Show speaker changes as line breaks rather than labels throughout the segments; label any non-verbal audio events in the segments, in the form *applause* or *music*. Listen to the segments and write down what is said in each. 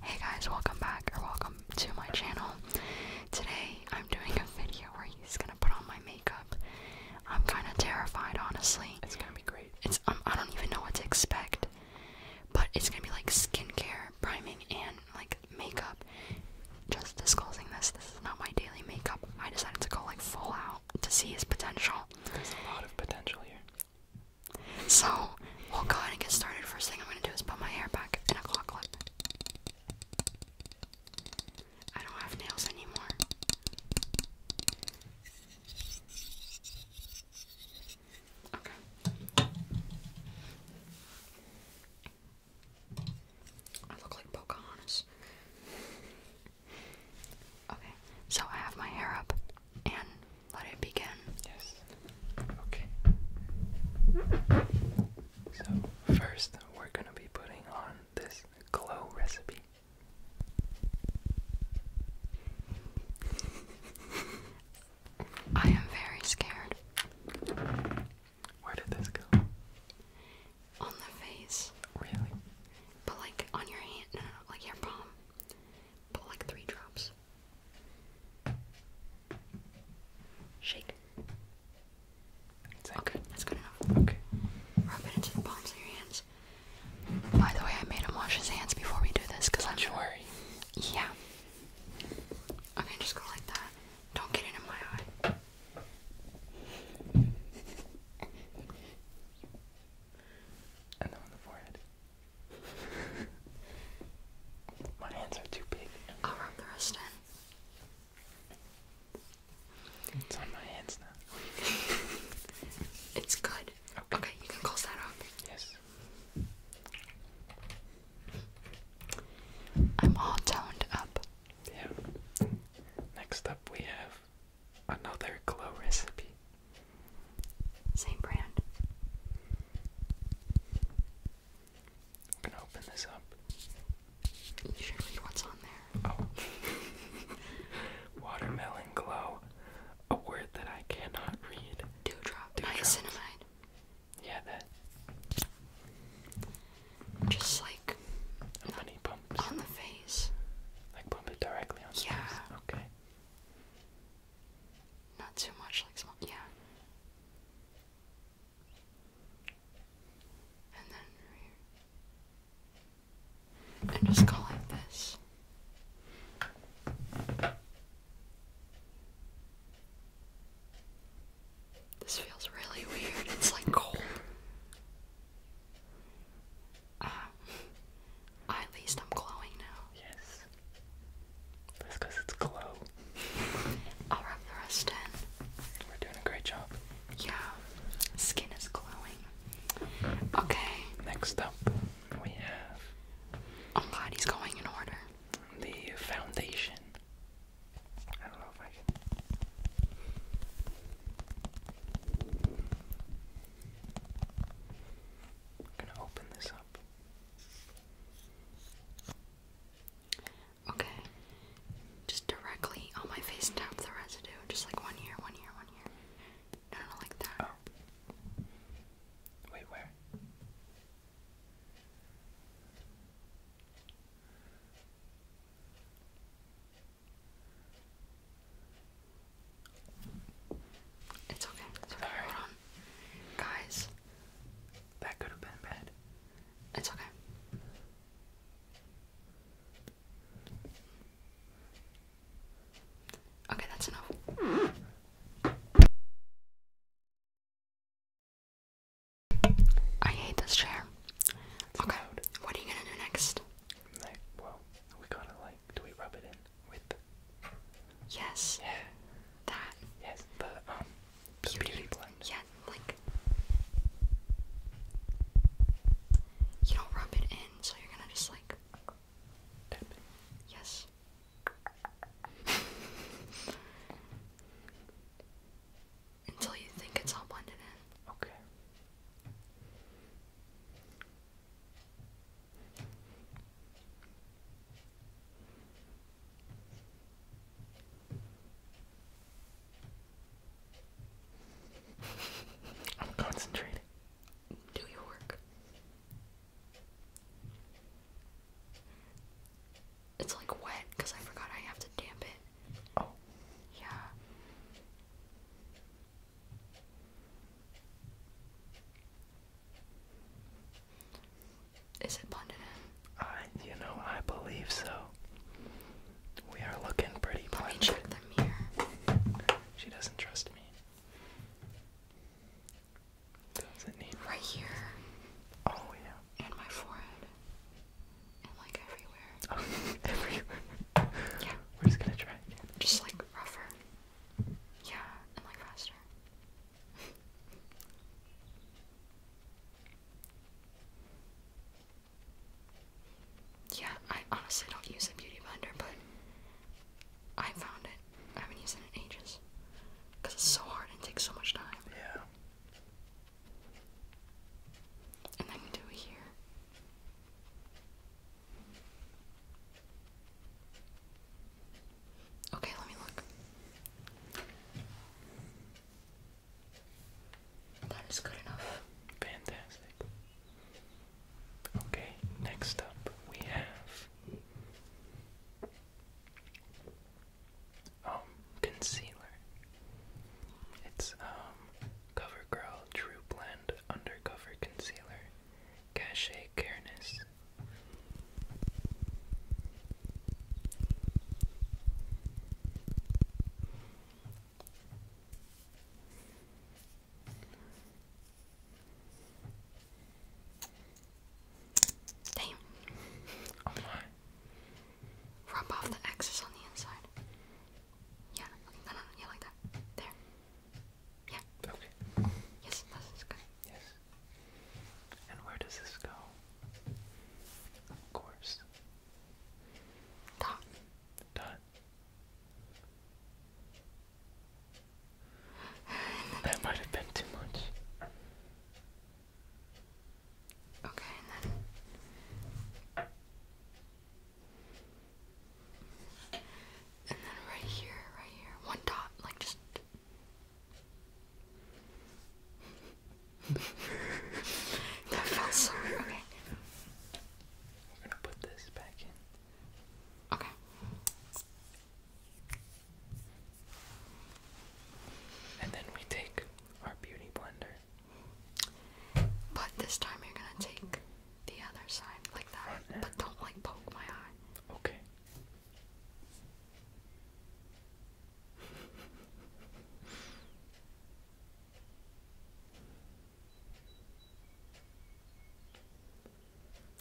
Hey guys, welcome back or welcome to my channel. Today I'm doing a video where he's gonna put on my makeup. I'm kind of terrified, honestly. It's gonna be great. It's um, I don't even know what to expect, but it's gonna be like skincare, priming, and like makeup. Just disclosing this, this is not my daily makeup. I decided to go like full out to see his potential. There's a lot of potential here. So we'll go ahead and get started. First thing I'm gonna do is put my hair back in a claw clip. I don't have nails anymore. Okay. I look like Pocahontas. Okay, so I have my hair up and let it begin. Yes. Okay. So, first, we're going to be putting on this glow recipe. I am very scared. Where did this go? On the face. Really? But like on your hand, like your palm. But like three drops. Shake. Okay, that's good enough. Okay. Rub it into the palms of your hands. By the way, I made him wash his hands before we do this because i Don't worry. Yeah. Okay, just go like that. Don't get it in my eye.
And on the forehead. My hands are too big. I'll rub the rest in. It's on my hands now. *laughs* it's good. Okay. you can close that up. Yes. I'm all toned up. Yeah. Next up, we have another glow recipe. Same brand. I'm gonna open this up.
You what's on there. Oh.
*laughs* Watermelon glow. A word that I cannot read. Dewdrop. Niacinamide. Yeah, that.
Just like. How many pumps? On the face. Like pump it directly on yeah. Okay. Not too much like small, yeah. And then And just go like this. This feels really weird. It's like cold. Ah. *laughs* at least I'm glowing now. Yes. That's because it's glow. I'll rub the rest in. We're doing a great job. Yeah, skin
is glowing. Okay. Next up, we have. Oh um, god, he's going in order. The foundation. I don't know if I can.
I'm gonna open this up. Okay. Just directly on my face tap the residue. Just like one here, one here, one here. No, no, like that. Oh. Wait, where? It's okay. Hold
on. Guys, that could have been bad. It's okay. Okay, that's enough.
I hate this chair. It's okay, what are you gonna do next? well,
we gotta like, do we rub it in with Yes. Yeah. That.
Yes. The um. The beauty, blend. Yeah. Like. You don't rub it in, so you're gonna just like. Yes. *laughs* Until you think it's all blended in. Okay. *laughs* I'm concentrating. Do your work. It's like wet because I forgot I have to damp it. Oh. Yeah. Is it blended in? I, you know, I believe so. We are looking pretty Let check the mirror. She doesn't trust me. Doesn't need right here. Oh yeah. And my forehead. And like everywhere. *laughs* everywhere. yeah. We're just gonna try again. Just like rougher. Yeah, and like faster yeah, I honestly don't use a beauty blender, but I found it. I haven't used it in ages. Because it's so hard and takes so much time. Yeah. And then do it here.
Okay, let me look. That is good enough. Fantastic. Okay, next up we have um concealer. It's um CoverGirl True Blend Undercover Concealer. Cache careness.
Damn. Oh my. Rub off the excess on the inside. Yeah, no, no, no, like that. There.
Yeah. Okay. Yes, this good. Yes. And where does this go? Of course. Dot. Dot. That might have been too much.
Okay, and then and then right here, right here, one dot, like just that felt so weird. *laughs* Okay. put this back in. Okay. And then we take our beauty blender. But this time you're gonna take the other side like that. But don't like poke my eye. Okay.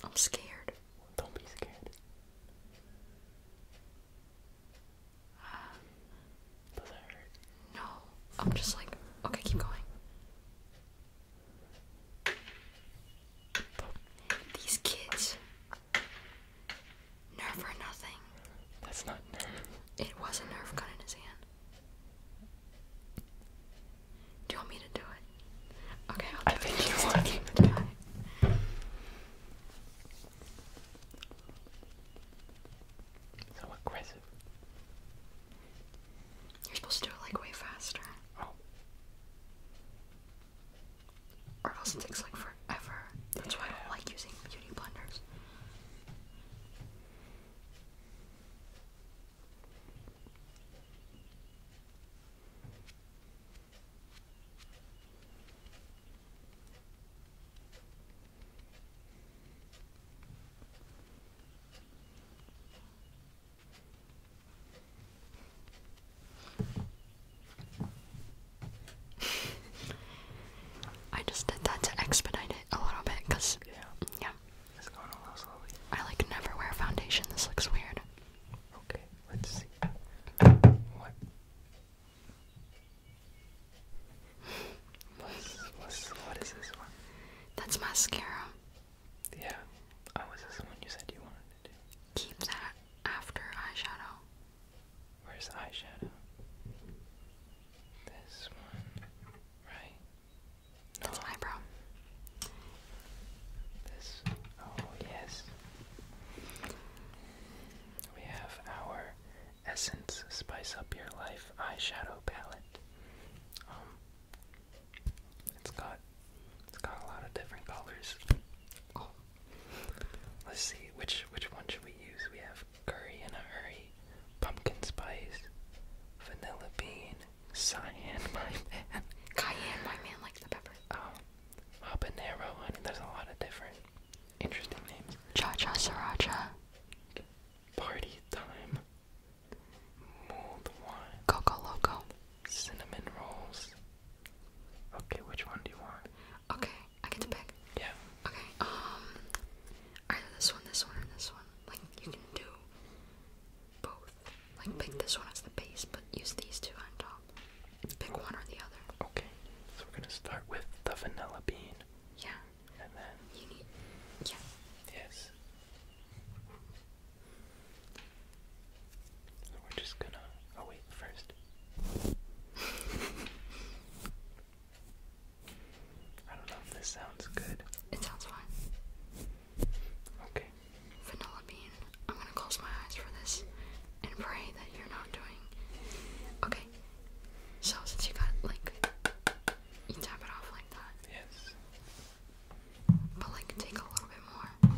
I'm scared. Don't be scared. Um, Does that hurt? No. I'm just like, okay, keep going. These kids. Nerve or nothing. That's not nerve. It was a nerve gun in his hand. Do you want me to do it? Okay, i think you want to do So aggressive. You're supposed to do it like way faster. Oh. Or else it takes like forever. That's why I don't like using beauty blenders. I just did that to expedite it a little bit because. Yeah. Yeah. It's going a little slowly. I like never wear foundation. This looks weird. Okay, let's see. What?
What's, what is this one?
That's mascara. Yeah. Oh, was the one you said you wanted to do? Keep that after eyeshadow. Where's the eyeshadow?
This one, right? That's eyebrow. This. Oh yes. We have our Essence Spice Up Your Life eyeshadow palette. Um, it's got it's got a lot of different colors. Let's see which which one should we use? We have curry in a hurry, pumpkin spice, vanilla bean, cyan my man, cayenne my man likes the pepper. Um,
habanero. I mean, there's a lot of different interesting names. Cha cha sriracha. Party time. Mulled wine. Coco loco. Cinnamon rolls. Okay, which one do you want? Okay, I get to pick. Yeah. Okay, um, either this one, this one, or this one. Like, you can do both. Like, pick mm-hmm. this one as the base, but use these two on top. Pick one or the other. Okay, so we're gonna start with the vanilla
bean. Yeah. And then. You need. Yeah. Yes. So we're just gonna. Oh, wait, first.
I don't know if this sounds good. It sounds fine. Okay. Vanilla bean, I'm gonna close my eyes for this and pray that you're not doing. Okay. So, since you got, like, you tap it off like that. Yes. But, like, take a little bit more.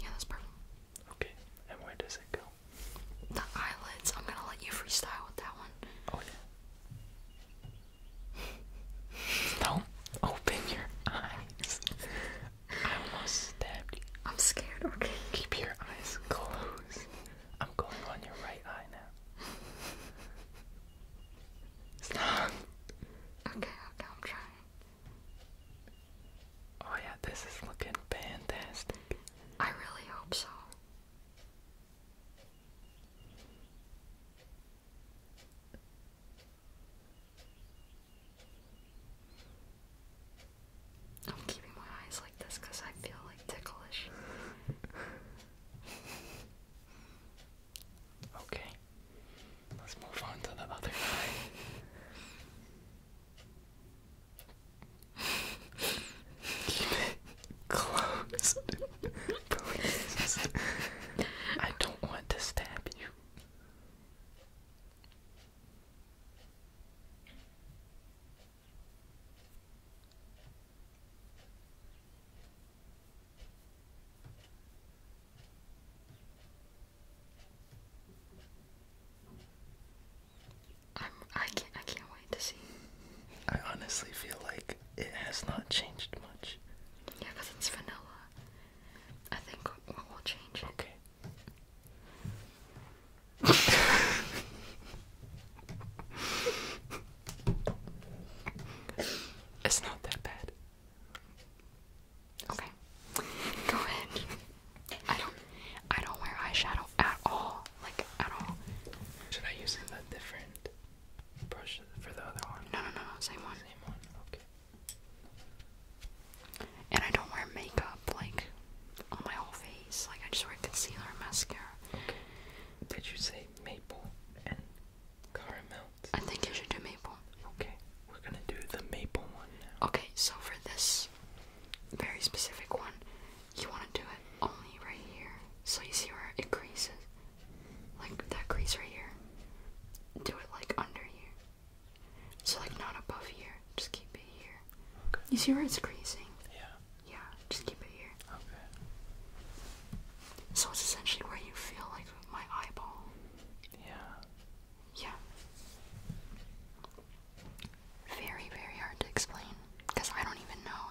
Yeah, that's purple. Okay, and where does it go? The eyelids. I'm gonna let you freestyle with that one. Oh yeah. do open your eyes. I almost stabbed you.
I'm scared. Okay. Keep your eyes closed. I'm going on your right eye now it's Okay, okay, I'm
trying. Oh yeah, this is looking fantastic. I really hope so. I'm keeping my eyes like this because I feel like ticklish. okay.
Let's move on to the other eye. Keep it *laughs* closed. Please. I don't want to stab you.
I'm, I can't wait to see. I honestly feel
like it has not changed much. Yeah, because it's vanilla. I think what will change Okay it's not that bad. Okay. Go ahead. I don't I don't wear eyeshadow at all. Like at all. Should I
use a different brush for the other one? No no no, same one. Same one, okay. And I don't wear makeup like on my whole face. Like I just wear concealer and mascara. Did you say maple and caramel? I think I should do maple. Okay, we're gonna do the maple one now. Okay, so for this very specific one, you wanna do it only right here. So you see where it creases? Like that crease right here. Do it like under here. So like not above here. Just keep it here. You see where it's creasing? Yeah. Yeah, just keep it here. Okay. So it's essentially where you feel like my eyeball. Yeah. Yeah. Very, very hard to explain because I don't even know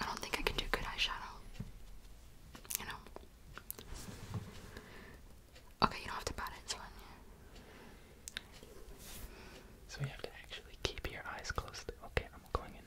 I don't think I can do good eyeshadow. You know? Okay, you don't have to pat it, it's fine. Yeah. So you have to actually keep your eyes closed. Okay, I'm going in.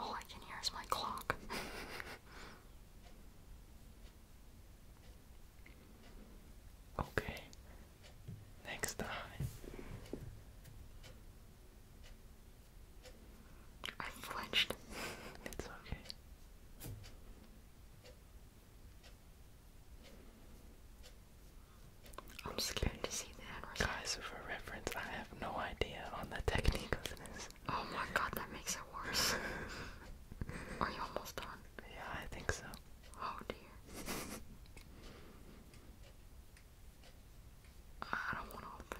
All I can hear is my clock. okay. Next time.
I flinched. it's okay. I'm scared to see the end result. Guys, for reference, I have no idea on the technique of this. Oh my god, that makes it worse. *laughs* Are you almost done? Yeah, I think so. Oh dear. I don't want to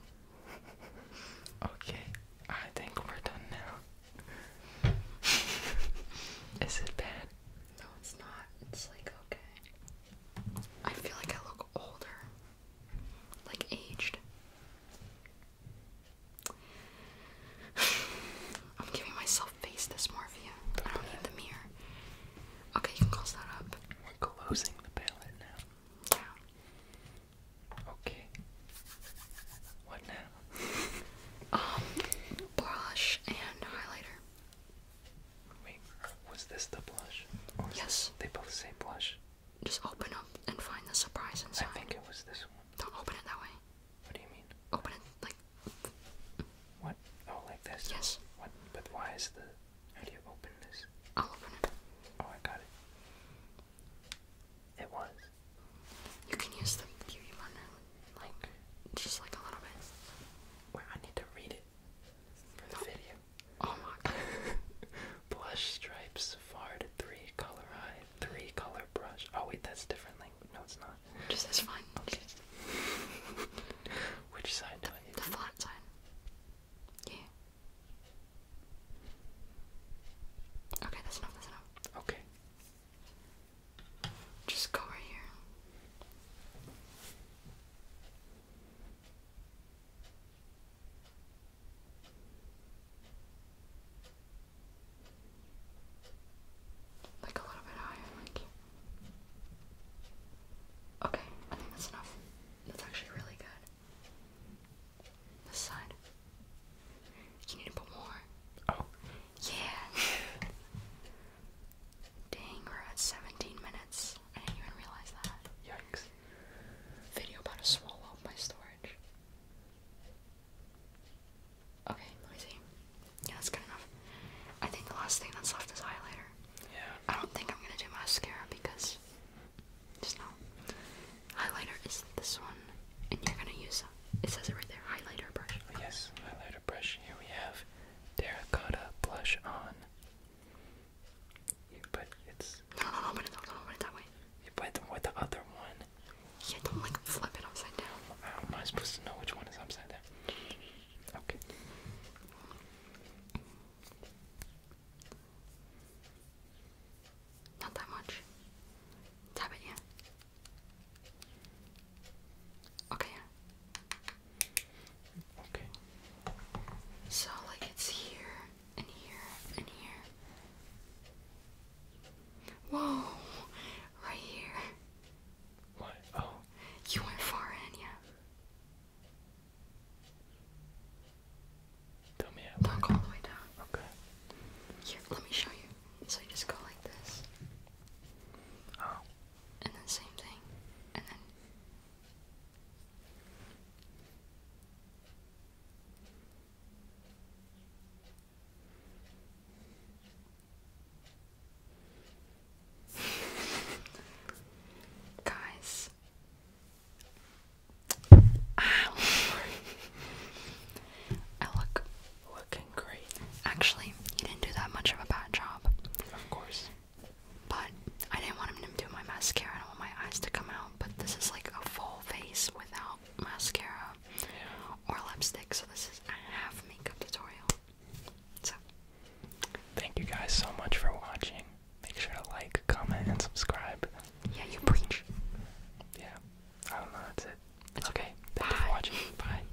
open. Okay, I think we're done now. *laughs* Is it bad? No, it's not. It's like okay. I feel like I look older. Like aged. *sighs* I'm giving myself face dysmorphia. I the mirror. Okay, you can close that up. We're closing the palette now. Yeah. Okay. What now? *laughs* um, blush and highlighter. Wait, was this the blush? Or yes. They both say blush. Just open up and find the surprise inside. I think it was this one. Don't open it that way. What do you mean? Open it like. What? Oh, like this? Yes. What? But why is the? How do you open this? I'll open it. Oh, I got it. It was.
You can use the beauty blender like just like a little bit. Wait, I need to read it for the oh. video. Oh my god. *laughs* stripes fard three color eye three color brush. Oh wait, that's different language. No, it's not. Just that's fine. Okay. *laughs* Which side The flat side. Yeah. Okay, that's enough, that's enough. Okay. Just go right here.
Like a little bit higher, like. Okay, I think that's enough. That's actually really good. This side. You need to put more. Oh. Yeah. *laughs* Dang, we're at 17 minutes. I didn't even realize that. Yikes. Video about to swallow up my storage. Okay, let me see. Yeah, that's good enough. I think the last thing that's left is highlighter. Yeah. I don't think I'm gonna do mascara because just no. Highlighter is this one, and you're gonna use it. It says it right there, highlighter brush. Yes, highlighter brush. Here we have terracotta blush on.
You put it's. No, no, no, put it put it that way. You put them with the other one. Yeah, don't like flip it upside down. How am I supposed to know which one is upside down? Okay. Not that much.
Tap it, yeah. Okay. Okay. So like it's here and here and here. Whoa! Right here. What? Oh. You went far in, yeah. Tell me how. all the way down. Okay. Here, let me show you. So you just go like this. Oh and then same thing, Guys, ah, ow! *laughs* I look Looking great. Actually, you didn't do that much of a bad job. Of course. But I didn't want him to do my mascara. I don't want my eyes to come out. But this is like a full face without mascara or lipstick. So this is a half makeup tutorial. So. Thank you guys so much for
watching. Make sure to like, comment, and subscribe. Yeah, you preach. Yeah. I don't know. That's it. It's okay. Bye. Bye.